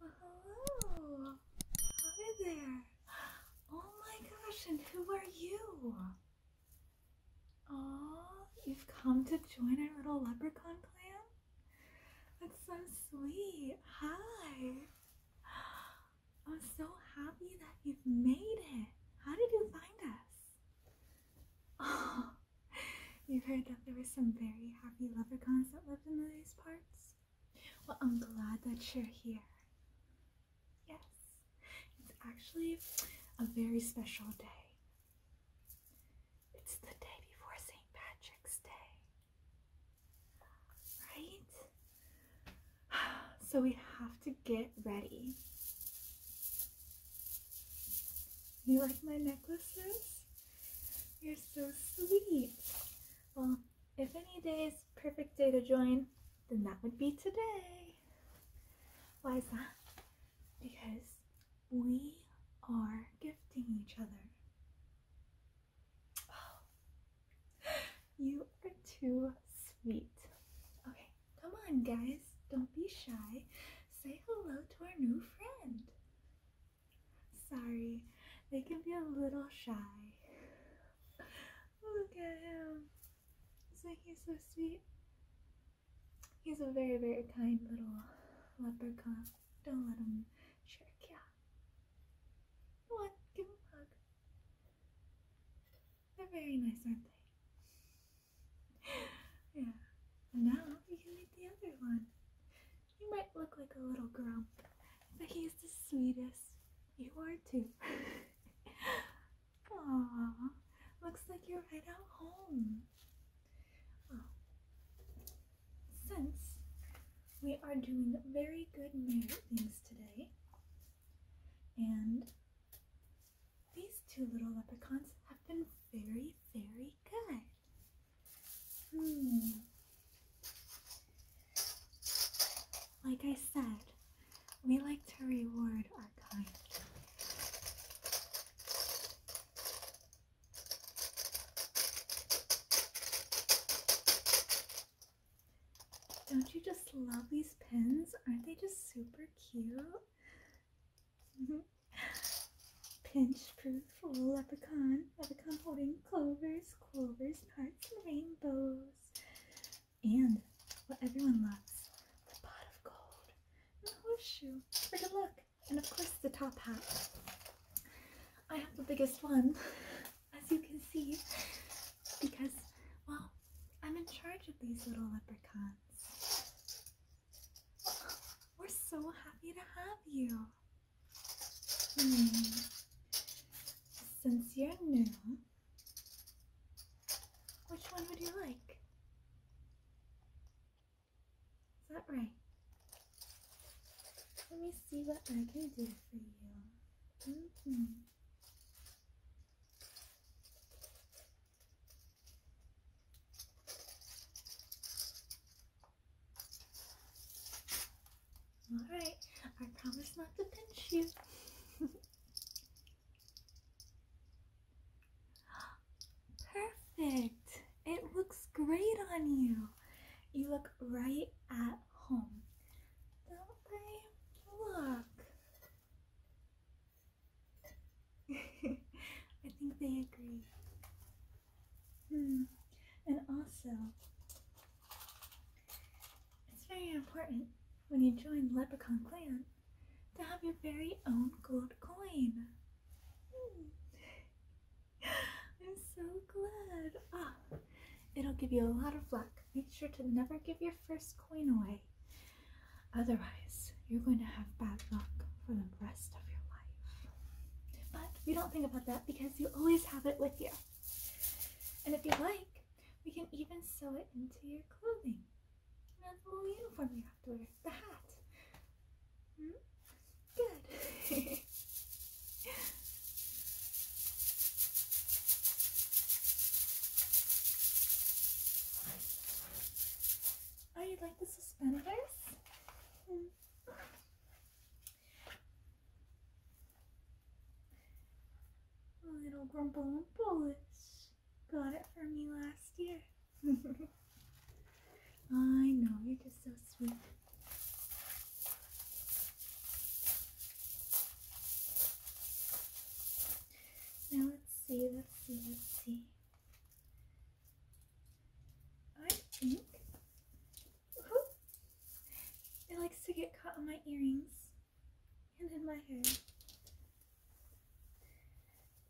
hello. Hi there. Oh my gosh, and who are you? Oh, you've come to join our little leprechaun clan? That's so sweet. Hi. I'm so happy that you've made it. How did you find us? Oh, we heard that there were some very happy leprechauns that lived in these parts. Well, I'm glad that you're here. Yes, it's actually a very special day. It's the day before St. Patrick's Day. Right? So we have to get ready. You like my necklaces? You're so sweet. Well, if any day is perfect day to join, then that would be today. Why is that? Because we are gifting each other. Oh, you are too sweet. Okay, come on, guys. Don't be shy. Say hello to our new friend. Sorry, they can be a little shy. Look at him. Isn't he so sweet? He's a very, very kind little leprechaun. Don't let him trick you. Come on, give him a hug. They're very nice, aren't they? yeah. And now you can meet the other one. You might look like a little grump, but he's the sweetest. You are too. Aww. Looks like you're right at home. since we are doing very good merit things today, and these two little leprechauns have been very, very good. Hmm. Like I said, we like to reward our kind. Don't you just love these pins? Aren't they just super cute? Mm-hmm. Pinch proof full leprechaun, leprechaun holding clovers, clovers, hearts, and rainbows. And what everyone loves, the pot of gold the horseshoe. Take a look. And of course the top hat. I have the biggest one, as you can see, because, well, I'm in charge of these little leprechauns. We're so happy to have you. Hmm. Since you're new, which one would you like? Is that right? Let me see what I can do for you. Mm-hmm. Alright, I promise not to pinch you. Perfect! It looks great on you. You look right at home. Don't they? Look. I think they agree. Hmm. And also, it's very important when you join the Leprechaun Clan to have your very own gold coin. Hmm. I'm so glad. Ah, it'll give you a lot of luck. Make sure to never give your first coin away. Otherwise, you're going to have bad luck for the rest of your life. But we don't think about that because you always have it with you. And if you like, we can even sew it into your clothing. You know, the whole uniform you have to wear, the hat. Hmm? Good. Oh, you like the suspenders? Hmm. Little Grumble Bullets got it for me last year. I know, you're just so sweet. Now let's see, let's see, let's see. I think it likes to get caught in my earrings and in my hair.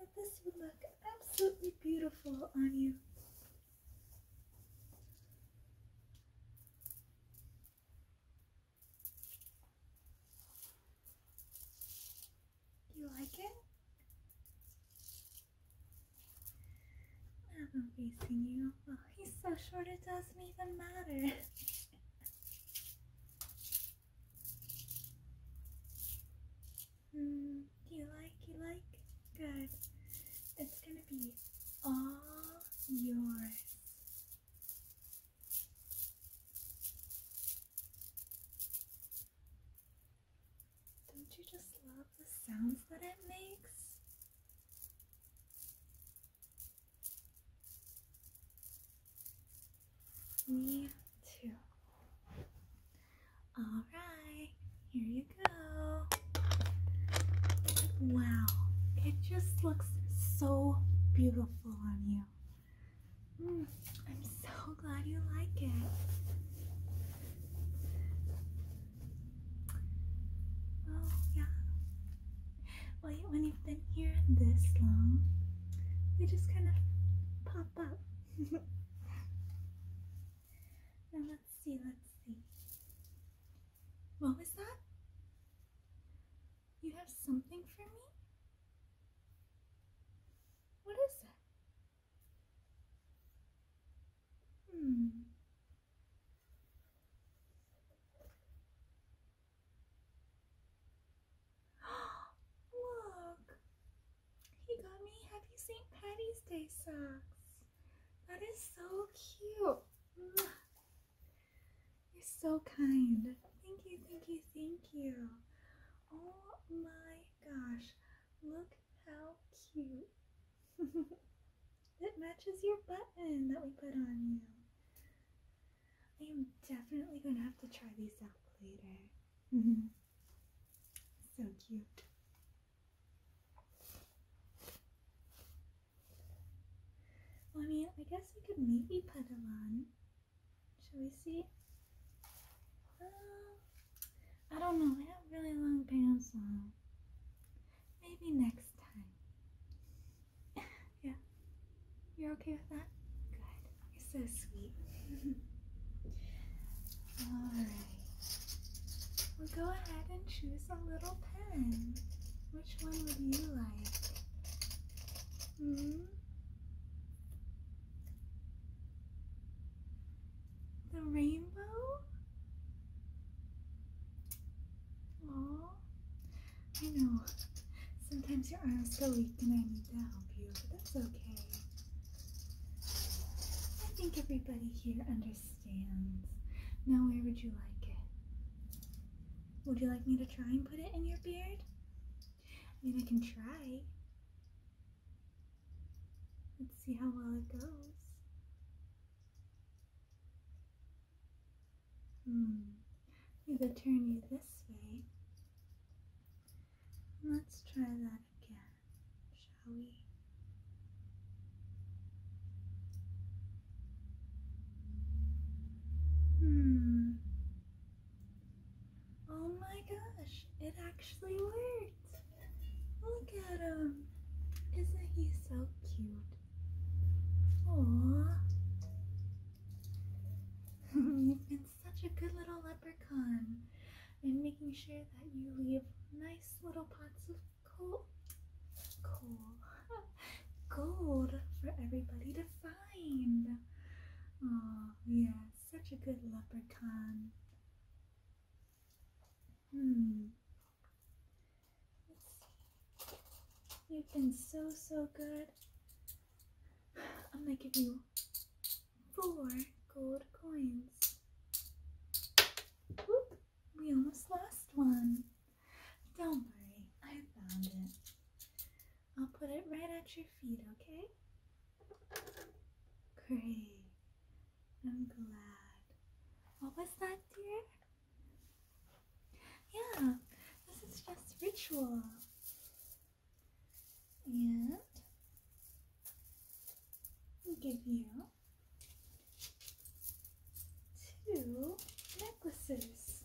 But this would look absolutely beautiful on you. You like it? I'm not you. Oh, he's so short it doesn't even matter. mm, you like, you like? Good. It's gonna be all yours. Don't you just love the sounds that it makes? Me too. Alright, here you go. Wow, it just looks so beautiful on you. Mm, I'm so glad you like it. Well, yeah. Well, when you've been here this long, they just kind of pop up. let's see, let's see. What was that? You have something for me? What is it? Hmm. Look! He got me Happy St. Patty's Day socks. That is so cute. You're so kind. Thank you, thank you, thank you. Oh my gosh. Look how cute it matches your button that we put on you. I am definitely going to have to try these out later. Mm -hmm. so cute. I mean, I guess we could maybe put them on. Shall we see? Um, I don't know. I have really long pants on. Maybe next time. yeah. You're okay with that? Good. You're so sweet. Alright. We'll go ahead and choose a little pen. Which one would you like? -hmm. The rainbow? Aww. I know. Sometimes your arms go weak and I need to help you, but that's okay. I think everybody here understands. Now where would you like it? Would you like me to try and put it in your beard? I mean, I can try. Let's see how well it goes. Hmm. We could turn you this way. Let's try that again, shall we? Hmm. Oh my gosh, it actually worked. Look at him. Isn't he so cute? Oh, You've been such a good little leprechaun. i making sure that you leave nice little pots of coal, gold for everybody to find. Oh, yeah, such a good leprechaun. Hmm. You've been so, so good. I'm gonna give you four gold coins. Oop, we almost lost one. Don't worry, I found it. I'll put it right at your feet, okay? Great. I'm glad. What was that, dear? Yeah, this is just ritual. And I'll give you two necklaces.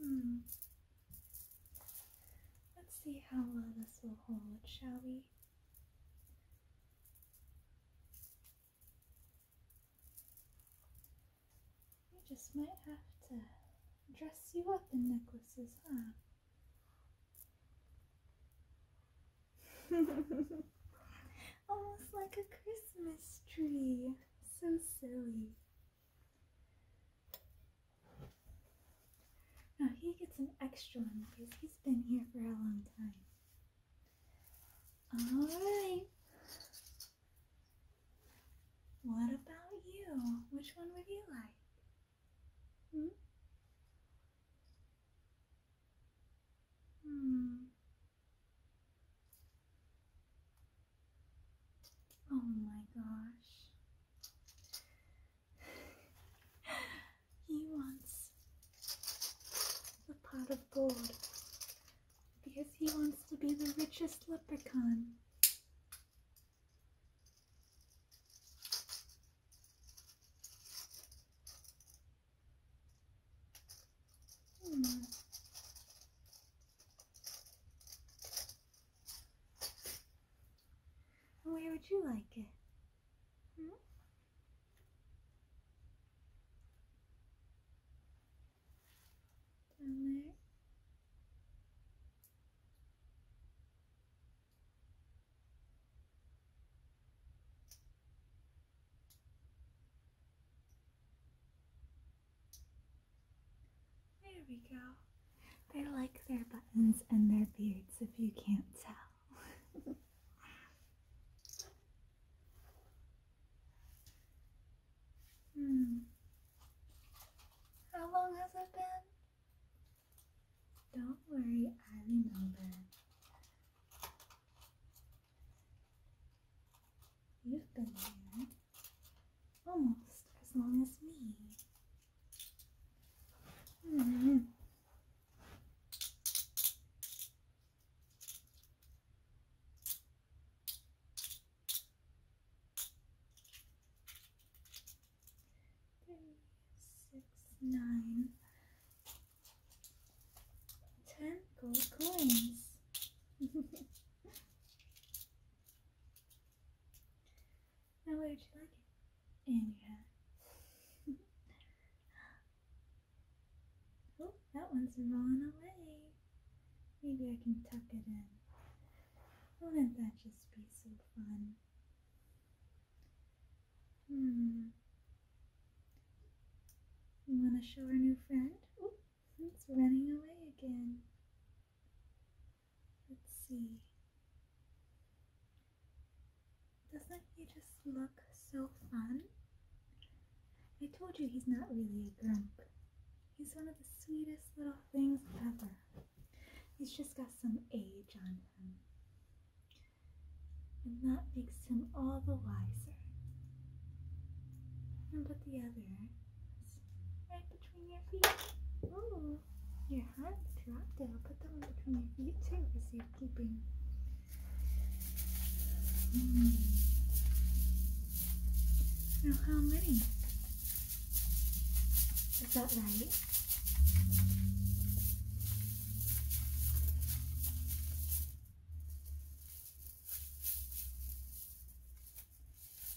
Hmm. Let's see how well this will hold, shall we? We just might have to dress you up in necklaces, huh? Almost like a Christmas tree. So silly. Now he gets an extra one because he's been here for a long time. Alright. What about you? Which one would you like? Hmm? Hmm. Oh my gosh. he wants the pot of gold because he wants to be the richest leprechaun. Hmm. Where would you like it? Hmm? Down there. There we go. They like their buttons and their beards if you can't tell. hmm. How long has it been? Don't worry, I remember. You've been almost as long as me. Hmm. Three, six, nine, ten gold coins. Now where would you like it? In your oh, that one's rolling away. Maybe I can tuck it in. Wouldn't that just be so fun? Hmm. You want to show our new friend? It's running away again. Let's see. Doesn't he just look so fun? I told you he's not really a grump. He's one of the sweetest little things ever. He's just got some age on him. And that makes him all the wiser. And but the other right between your feet. Oh, your heart dropped it. I'll put that one between your feet too for safekeeping. Hmm. Now, how many? Is that right?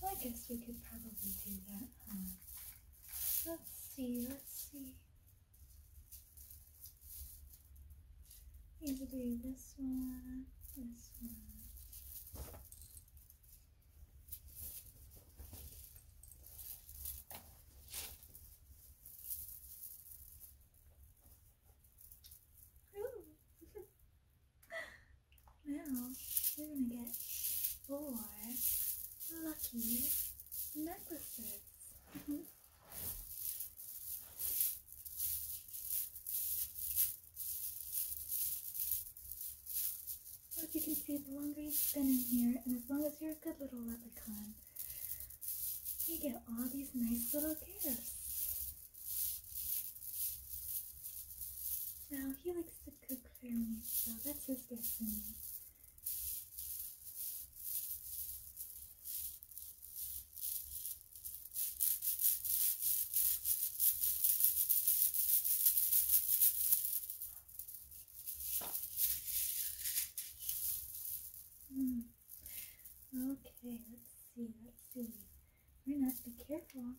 Well, I guess we could probably do that, huh? Let's see, let's see. Maybe do this one, this one. Ooh. Now we're gonna get four lucky necklaces. Mm-hmm. As you can see, the longer you have been in here, and as long as you're a good little leprechaun, you get all these nice little gifts. Well, he likes to cook for me, so that's his gift for me. Mm. Okay, let's see, let's see. We're not be careful.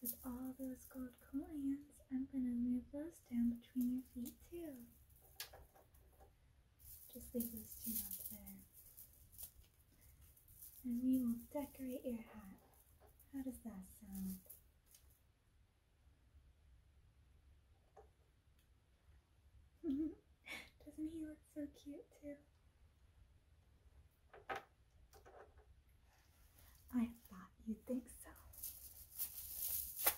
With all those gold coins, I'm going to move those down between your feet too. Just leave those two up there. And we will decorate your hat. How does that sound? Doesn't he look so cute too? I thought you would think so.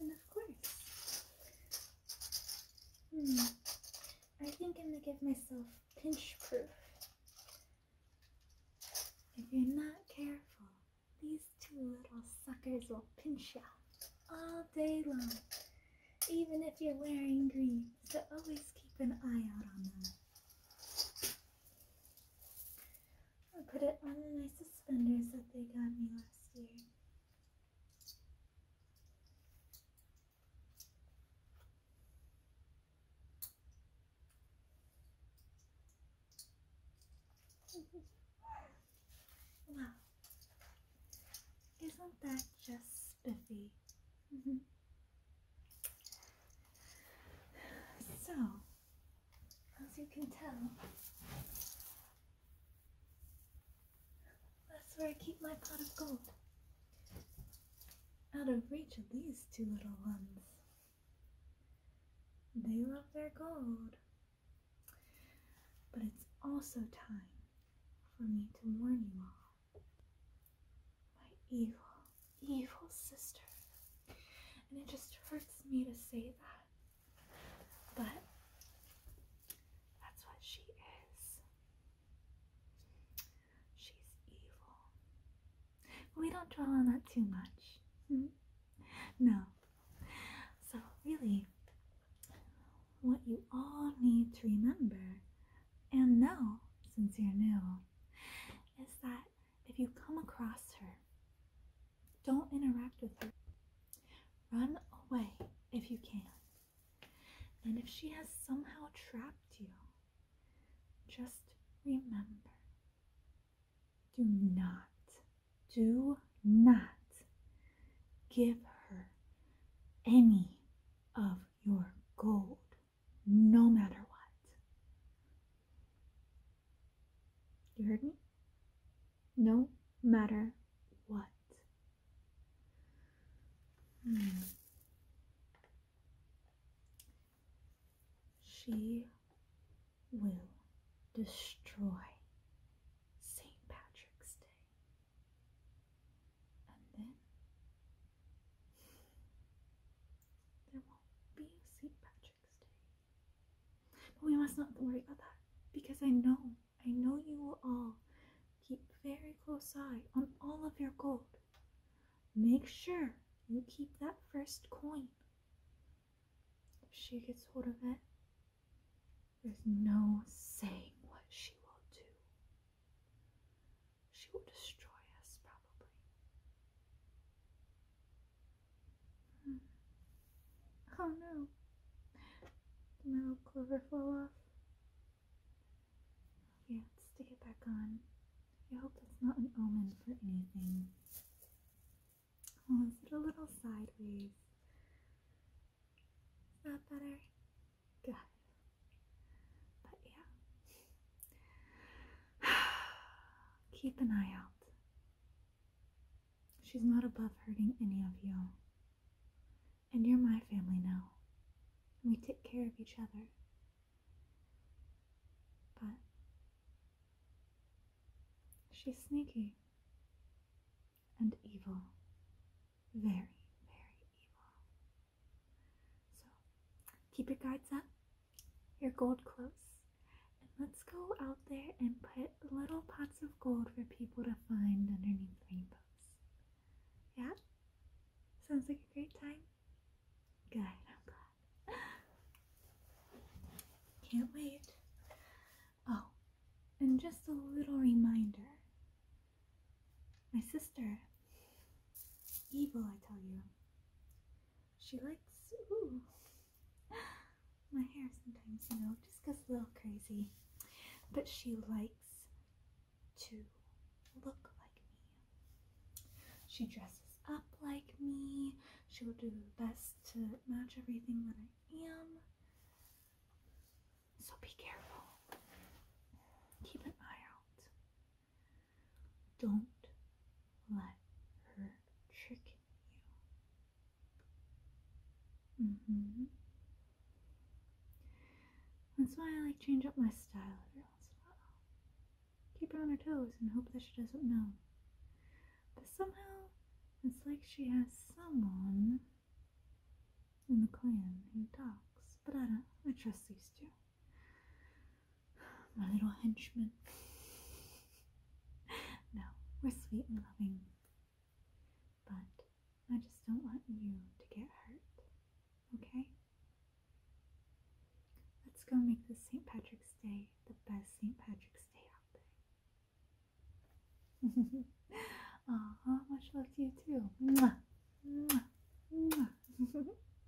And of course. Hmm. I think I'm gonna give myself pinch proof. If you're not careful, these two little suckers will pinch you all day long, even if you're wearing gloves, So always keep an eye out on them. I will put it on the nice suspenders that they got me last year. wow, isn't that just spiffy? Mm-hmm. So, as you can tell, that's where I keep my pot of gold. Out of reach of these two little ones. They love their gold. But it's also time for me to warn you all my evil, evil sister. And it just hurts me to say that. But that's what she is. She's evil. We don't dwell on that too much. Hmm? No. So, really, what you all need to remember and know since you're new is that if you come across her, don't interact with her. Run away if you can. And if she has somehow trapped you, just remember do not, do not give her any of your gold no matter what. You heard me? No matter what. Hmm. She will destroy St. Patrick's Day and then there won't be St. Patrick's Day. But we must not worry about that because I know, I know you will all keep very close eye on all of your gold. Make sure you keep that first coin. If she gets hold of it, there's no saying what she will do. She will destroy us, probably. Hmm. Oh no. The metal cover fell off. Okay, stick it back on. I hope that's not an omen for anything. Oh, is it a little sideways? Is better? Good. But yeah. Keep an eye out. She's not above hurting any of you. And you're my family now. And we take care of each other. But she's sneaky and evil. Very, very evil. So keep your guards up, your gold close, and let's go out there and put little pots of gold for people to find underneath rainbows. Yeah? Sounds like a great time? Good, Can't wait. Oh, and just a little reminder my sister Evil, I tell you. She likes. Ooh. My hair sometimes, you know, just gets a little crazy. But she likes to look like me. She dresses up like me. She will do the best to match everything that I am. So be careful. Keep an eye out. Don't let her trick you. Mm-hmm. That's why I like change up my style every once in a while. Keep her on her toes and hope that she doesn't know. But somehow, it's like she has someone in the clan who talks. But I don't. I trust these two. My little henchman. no, we're sweet and loving. But I just don't want you to get hurt, okay? Let's go make this St. Patrick's Day the best St. Patrick's Day out there. Aw, much love to you too. Mwah. Mwah. Mwah.